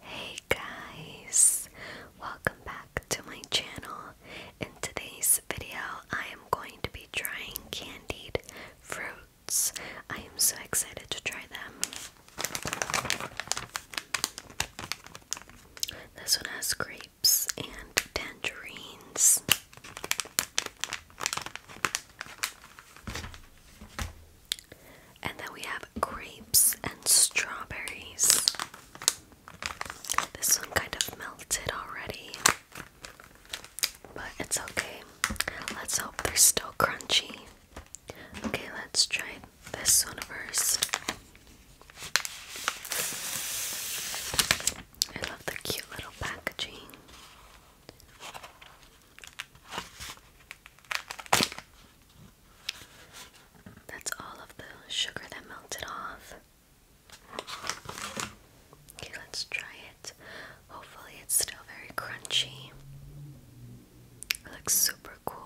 Hey guys, welcome back to my channel. In today's video, I am going to be trying candied fruits. I am so excited to try them. This one has grapes and tangerines. And then we have grapes and strawberries. This one kind of melted already, but it's okay. Let's hope they're still crunchy. Okay, let's try this one first. I love the cute little packaging. That's all of the sugar that melted off. Okay, let's try it. Hopefully, it's still very crunchy. looks super cool.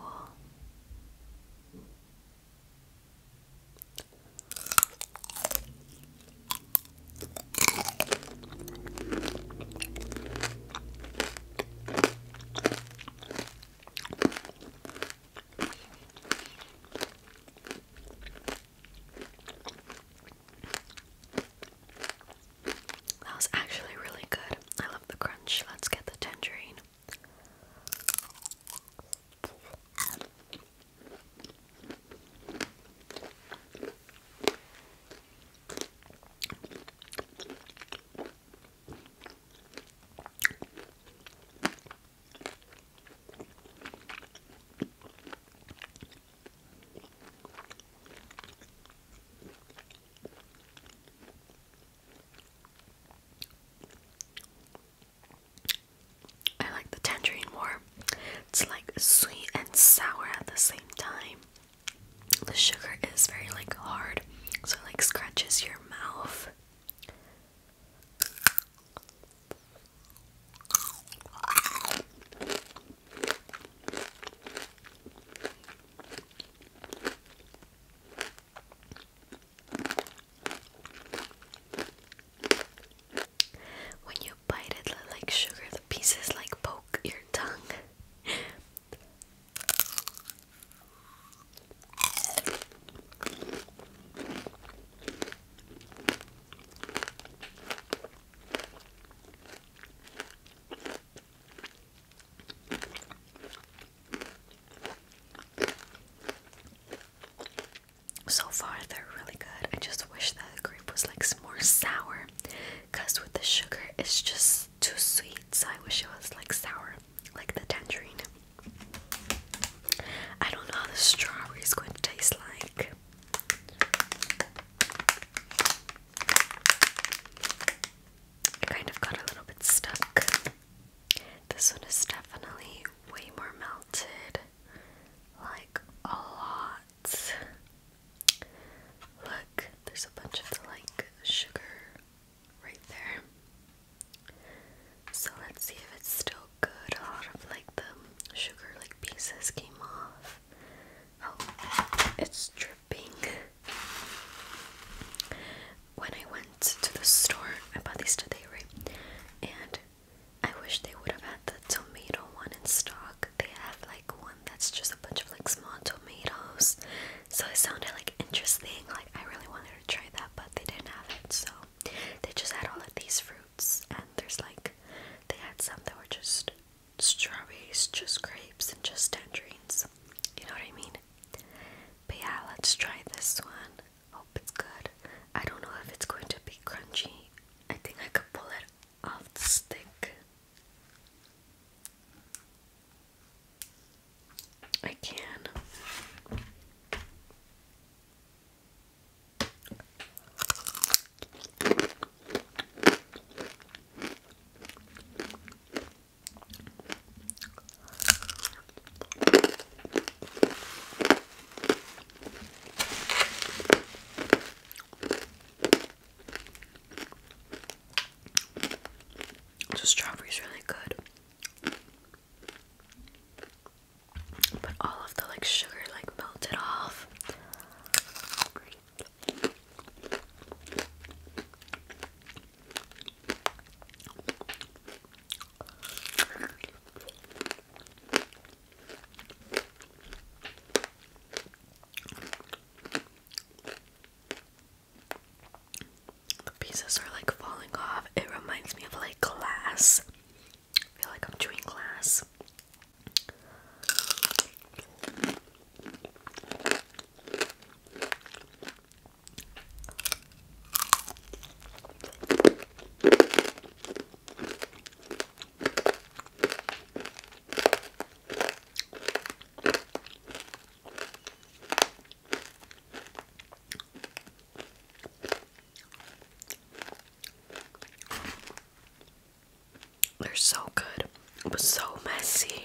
That was actually really good. I love the crunch. Let's get the tangerine. I like the tangerine more. It's like sweet and sour at the same time the sugar is very like hard, so it like scratches your mouth. When you bite it, like sugar, the pieces like poke your tongue. So far, they're really good. I just wish the grape was like more sour because with the sugar it's just too sweet. So I wish it was like sour, like the tangerine. I don't know how the strawberry is going to taste like. kind of got a little bit stuck. This one is definitely way more melted, like a lot. Look, there's a bunch of the like sugar right there. So let's see if it's still good. A lot of like the sugar like pieces came off. Oh, it's dripping. When I went to the store, I bought these today, right? And I wish they would have had the tomato one in stock they had like one that's just a bunch of small tomatoes. So it sounded like interesting. Like I really wanted to try that, but they didn't have it. So they just had all of these fruits, and there's like they had some that were just strawberries, just grapes, and just tangerines. You know what I mean? But yeah, let's try this one. Hope it's good. I don't know if it's going to be crunchy. I think I could pull it of the stick. I can. The strawberries really good. But all of the like sugar like melted off pieces are like falling off. It reminds me of like glass. I feel like I'm chewing glass. They're so good, but so messy.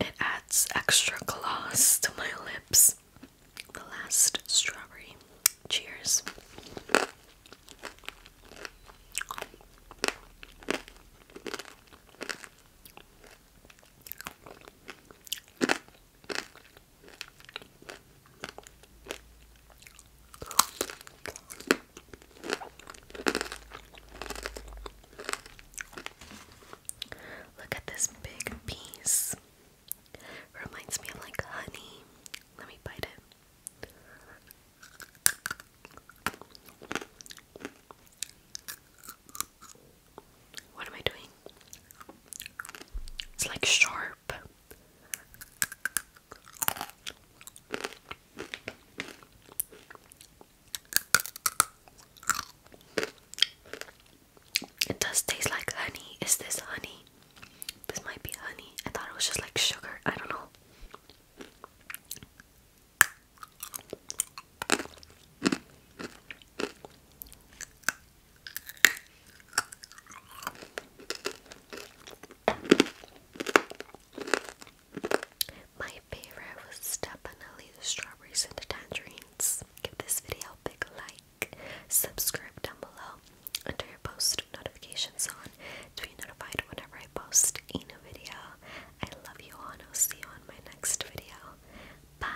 It adds extra gloss to my lips. The last strawberry. Cheers. Look at this big piece. Reminds me of like honey. Let me bite it. What am I doing? It's like sharp. It does taste like honey. Is this honey? This might be honey. I thought it was just like sugar. I don't know. My favorite was definitely the strawberries and the tangerines. Give this video a big like, subscribe down below, turn your post notifications on to be notified whenever I post a video. I love you all, and I'll see you on my next video. Bye!